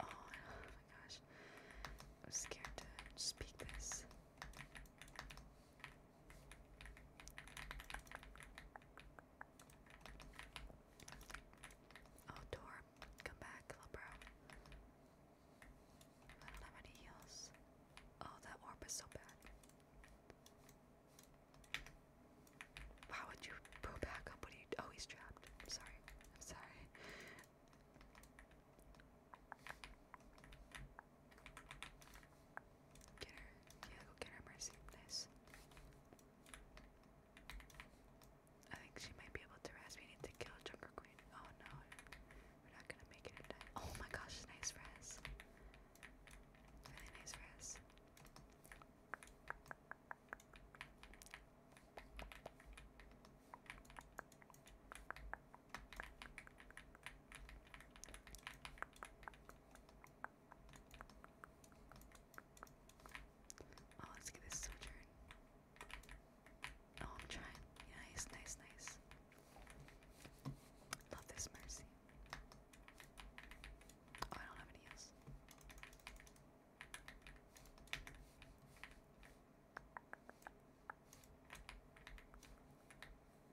Oh, my gosh. I'm scared to speak this. Oh, Tor, come back, little bro. I don't have any heals. Oh, that orb is so bad. Why would you pull back up when you oh he's trapped. sorry. I'm sorry. Get her. Yeah, go get her mercy. Nice. I think she might be able to rest. We need to kill Junker Queen. Oh no. We're not gonna make it in Oh my gosh, nice rest. Really nice res. Oh, let's get this sojourn. Oh, I'm trying. Nice, nice, nice. Love this mercy. Oh, I don't have any else.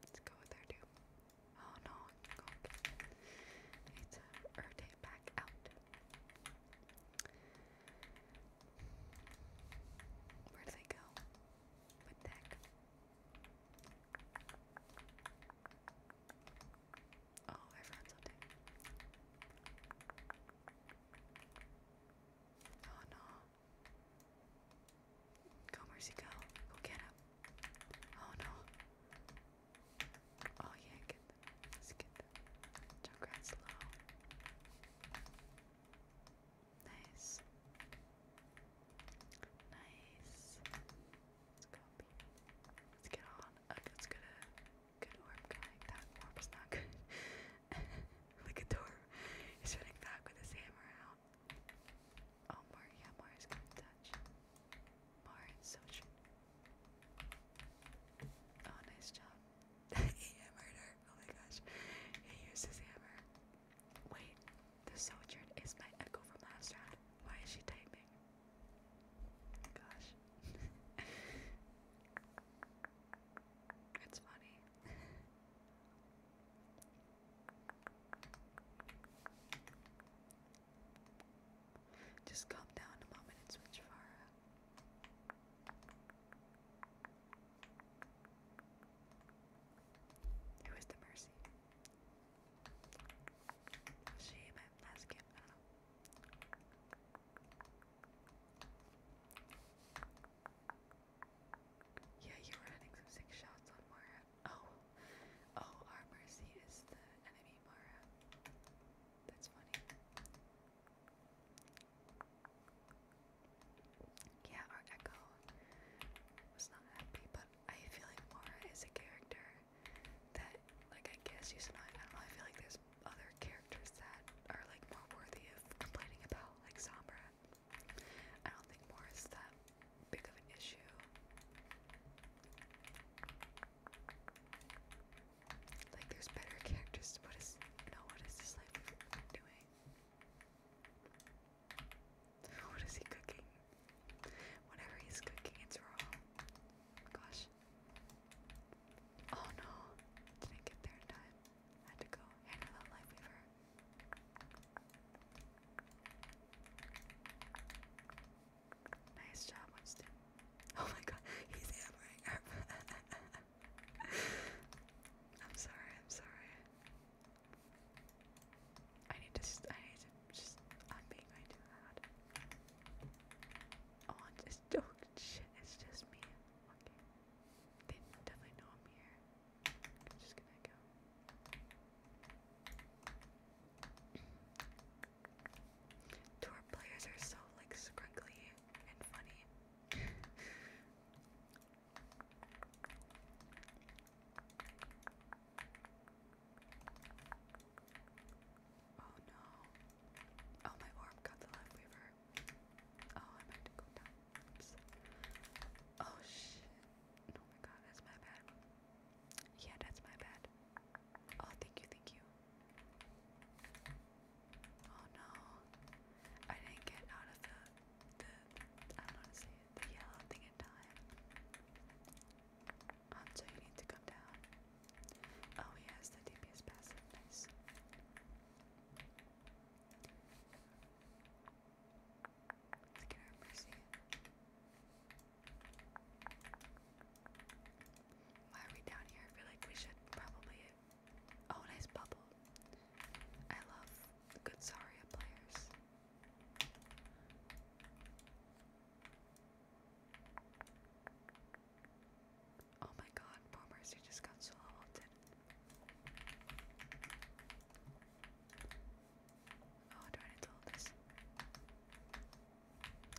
Let's go with her Oh no, okay. I back out. Where do they go? What the heck? Oh, I found something. Oh no. Go, Mercy, go. Go get him. Oh no. Oh yeah, get them. Let's get them. Junkrat's low. Nice. Nice. Let's go, Let's get on. Uh, let's Good worm coming. That worm not good. Look at the He's running back with his hammer out. Oh, Mar, yeah, Mar is gonna touch. Mar and Oh, nice job. he hammered Oh my gosh. He used his hammer. Wait, the soldier is my Echo from last round. Why is she typing? Gosh. it's funny. Just calm down a moment and switch Farah. Who is the Mercy? she my last game? Yeah, you were running some sick shots on Mara. Oh, oh, our mercy is the enemy Mara. That's funny. Yeah, our Echo was not happy, but I feel like Mara is a character that, like, I guess you and I, don't I feel like there's other characters that are, like, more worthy of complaining about, like Sombra. I don't think more is that big of an issue. Like, there's better characters. What is, no, what is this life doing? What is he cooking? Whatever he's cooking, it's raw. Gosh. Oh no, didn't get there in time. had to go handle that life weaver. Nice job, Winston. Oh my god, he's hammering I'm sorry, I'm sorry. I need to, I need to just, I'm being too loud. Oh, i just shit, it's just me. Okay. They definitely know I'm here. I'm just gonna go. Tour players are so like scrunkly and funny. oh no. Oh, my orb got the life weaver. Oh, I meant to go down. Oh, shit. Oh my god, that's my bad. Yeah, that's my bad. Oh, thank you, thank you. Oh no. I didn't get out of the, the, I don't know to say the yellow thing in time. Hanzo, oh, you need to come down. Oh, yes, has the DPS passive. Nice. Mercy. Why are we down here? I feel like we should probably. Oh, nice bubble. I love good Saria players. Oh my god, poor Mercy just got so halted. Oh, do to hold this?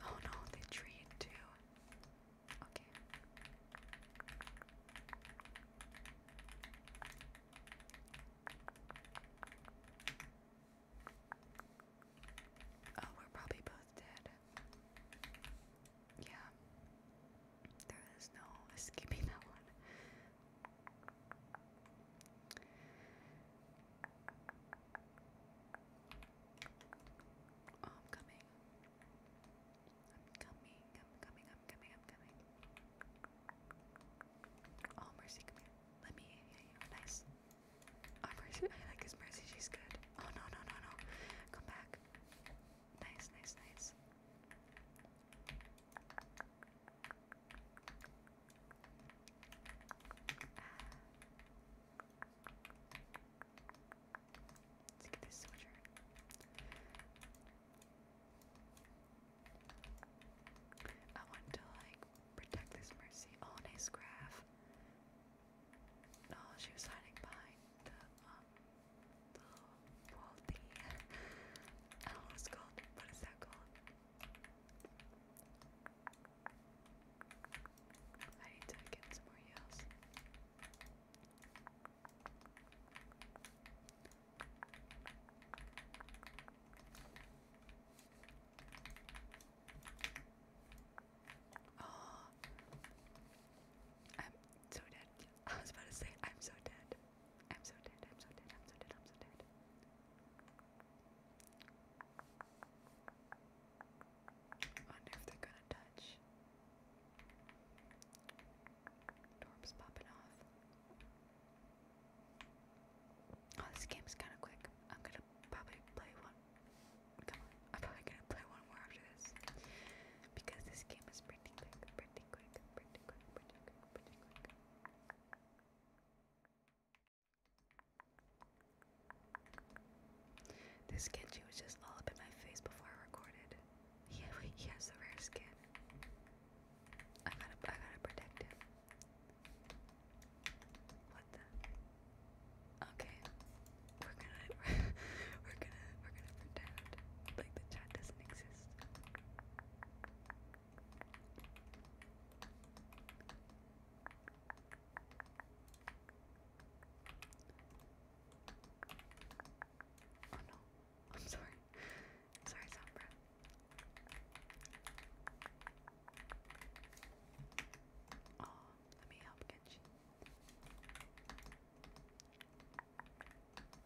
Oh no, they treat too. Okay. Oh, we're probably both dead. Yeah. There is no escaping that one. Oh, I'm coming. I'm coming, I'm coming, I'm coming, I'm coming. Oh, mercy, come here. Let me Nice. I like his Mercy. She's good. Oh, no, no, no, no. Come back. Nice, nice, nice. Let's get this soldier. I want to like protect this mercy. Oh, nice graph. Oh, she was hiding behind the, um, the wall thing. I don't know what called. What is that called? I need to get some more heals. Oh, I'm so dead. I was about to say, I'm so dead. I'm so dead. I'm so dead. I'm so dead. I'm so dead. wonder if they're gonna touch. Torps popping off. Oh, this game's kind of quick. I'm gonna probably play one Come on, I'm probably gonna play one more after this because this game is pretty quick, pretty quick, pretty quick, pretty quick, pretty quick. This Genji was just all up in my face before I recorded. he has the rare skin. I gotta, I gotta protect him. What the? Okay, we're gonna we're gonna we're gonna pretend like the chat doesn't exist. Oh no, I'm sorry. Sorry, Sombra. Oh, let me help get you.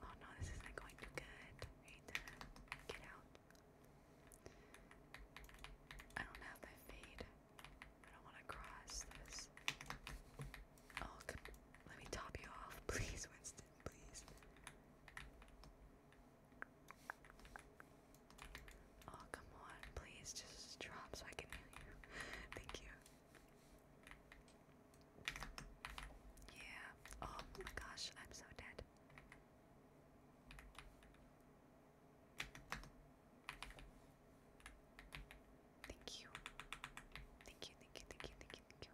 Oh no, this isn't going too good. get out. I don't have my fade. I don't want to cross this. Oh, let me top you off, please, Winston, please. Oh, come on, please just drop so I can hear you. Thank you. Yeah. Oh my gosh, I'm so dead. Thank you. Thank you, thank you, thank you, thank you, you.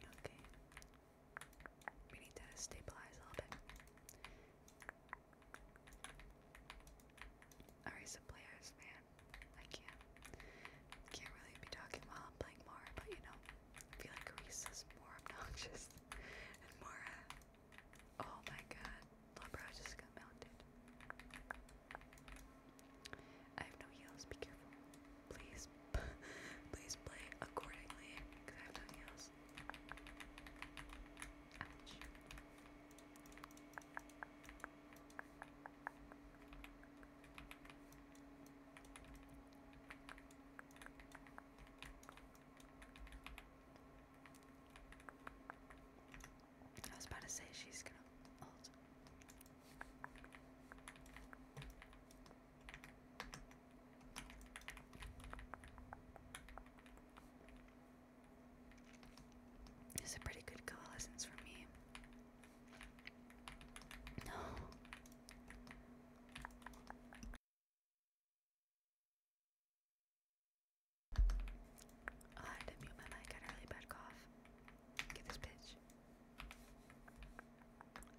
Okay. We need to stabilize a little bit. Alright, some players, man. I can't can't really be talking while I'm playing more, but you know, I feel like Reese is more obnoxious and more Oh my god, Labra just got melted. I have no heals, be careful. Please, please play accordingly, because I have no heals. Ouch. I was about to say she's gonna ult. It's a pretty good coalescence for me. No. Ah, I had to mute my mic, I had a really bad cough. Get this bitch.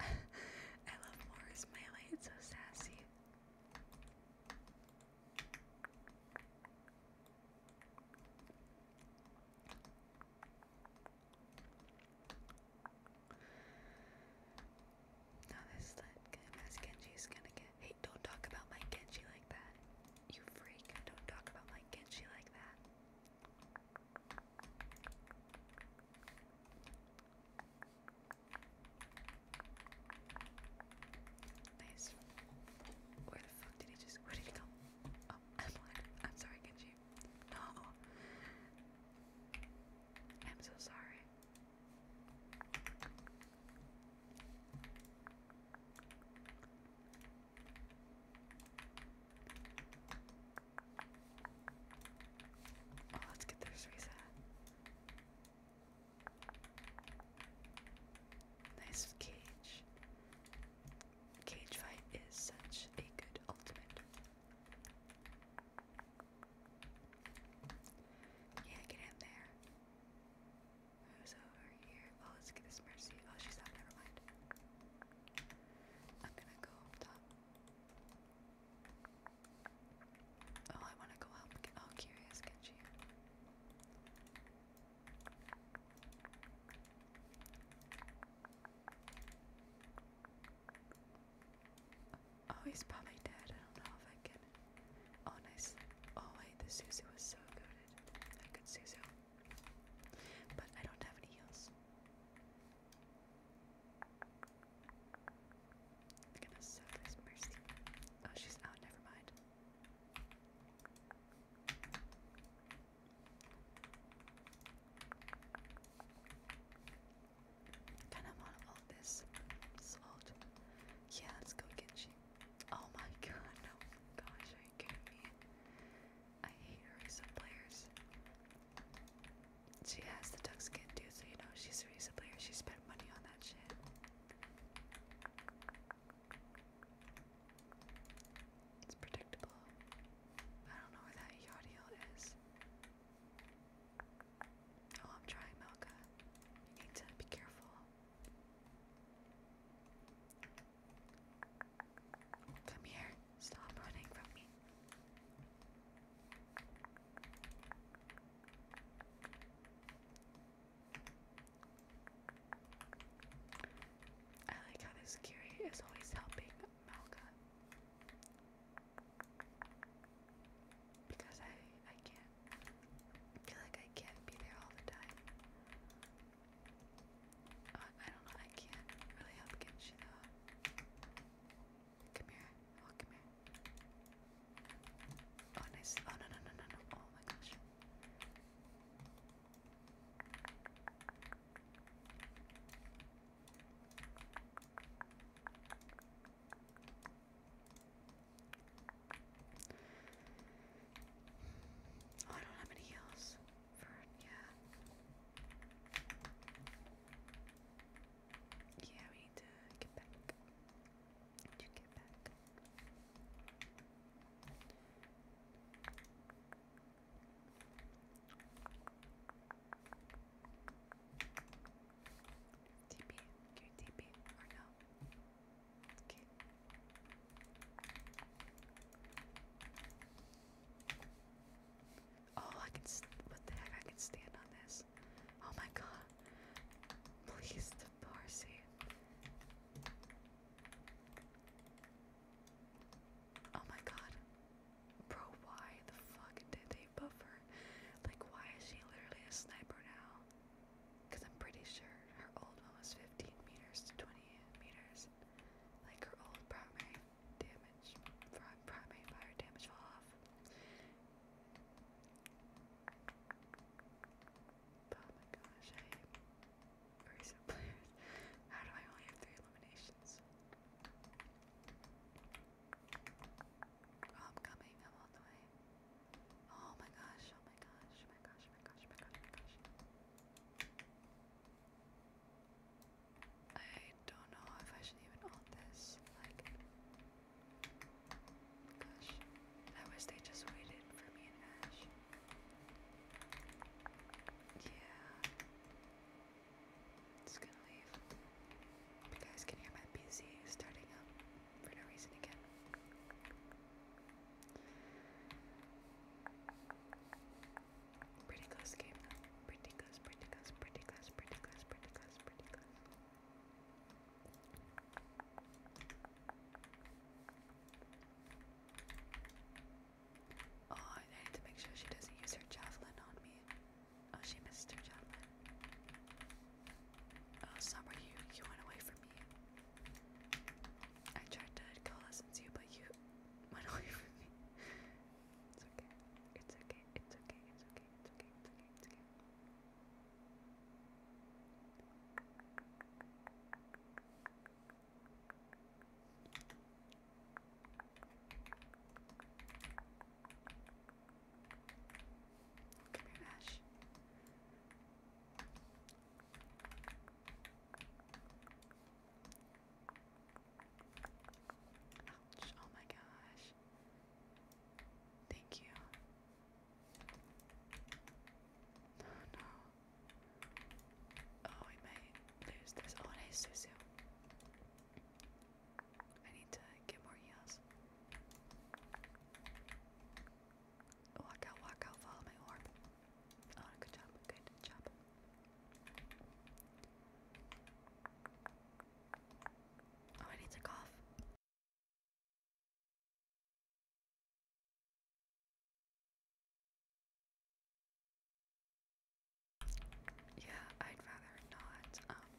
I love Morris Melee, it's so sassy. Now this is like MS Genji's gonna get. Hey, don't talk about my Genji like that. You freak. Don't talk about my Genji like that. Nice. Where the fuck did he just. Where did he go? Oh, I'm blind. I'm sorry, Genji. No. I'm so sorry. Oh, let's get this reset. Nice cage. Cage fight is such a good ultimate. Yeah, get in there. Who's over here? Oh, let's get this Mercy. Oh, she's out. Never mind. I'm gonna go up top. Oh, I wanna go help. Oh, Curious Genji. Oh, he's probably dead. I don't know if I can. Oh, nice. Oh, wait, the Suzu was so good. A good Suzu. But I don't have any heals. gonna soak this Mercy. Oh, she's out, never mind. Kinda wanna this salt. Yeah, let's go Genji. Oh my god, no. Gosh, are you kidding me? I hate her players. She has the duck skin too, so you know she's a Risa player. She spent money on that shit. It's predictable. I don't know where that Yadiel is. Oh, I'm trying, Melka. You need to be careful. Come here. Stop running from me. I like how this Kiri is always helping Malka because I I can't I feel like I can't be there all the time. Uh, I don't know. I can't really help get Come here. Oh, come here. Oh, nice. Oh no no no no no. Oh my gosh. Oh, I don't have any heals yeah. Yeah, we need to get back. To get back. TP, can you TP or no? Oh, I can. What the heck? I can stand on this. Oh my god. Please, Parsi. Oh my god. Bro, why the fuck did they buffer? Like, why is she literally a sniper now? Because I'm pretty sure her old one was 15 meters to 20 meters. Like her old primary damage, primary fire damage fall off. Oh my gosh, I am recent players. How do I only have three eliminations? Oh, I'm coming, I'm the way. Oh my gosh, oh my gosh, oh my gosh, oh my gosh, oh my gosh, oh my gosh. I don't know if I should even own this. Like, gosh, I wish they just waited for me and Ash. Yeah, just gonna leave. You guys can hear my PC starting up for no reason again. Pretty close game Pretty close, pretty close, pretty close, pretty close, pretty close, pretty close. Oh, I need to make sure she doesn't use her javelin on me. Oh, she missed her javelin. Oh, it's not where you you went away from me. I tried to coalescence you, but you went away from me. It's okay. It's okay. It's okay. It's okay. It's okay. It's okay. It's okay. Come here, Ash oh my gosh. Thank you. No, no. Oh, we might lose this. Oh, nice Susu. I need to get more heals. Walk out, walk out, follow my orb. Oh, good job, good job. Oh, I need to cough. Yeah, I'd rather not um,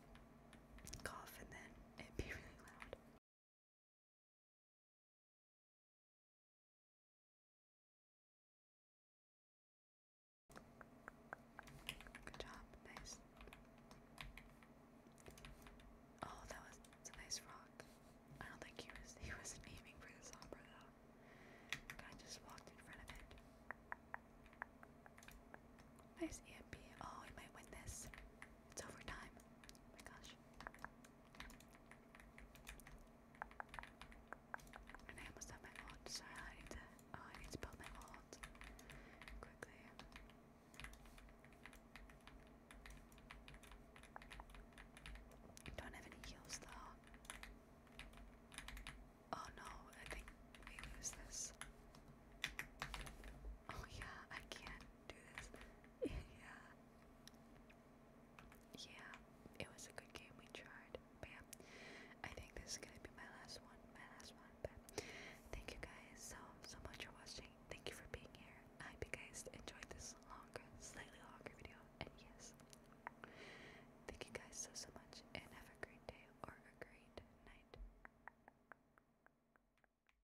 cough and then it'd be really loud. Good job, nice. Oh, that was it's a nice rock. I don't think he was he wasn't aiming for this umbrella though. I just walked in front of it. Nice EMP. Oh, we might win this. It's overtime. Oh my gosh. I almost have my alt. Sorry, I need to. Oh, I need to build my alt quickly. Don't have any heals though. Oh no, I think we lose this. Oh yeah, I can't do this yeah. Yeah, it was a good game. We tried. But yeah, I think this is gonna be my last one. My last one. But thank you guys so so much for watching. Thank you for being here. I hope you guys enjoyed this longer, slightly longer video. And yes, thank you guys so so much, and have a great day or a great night.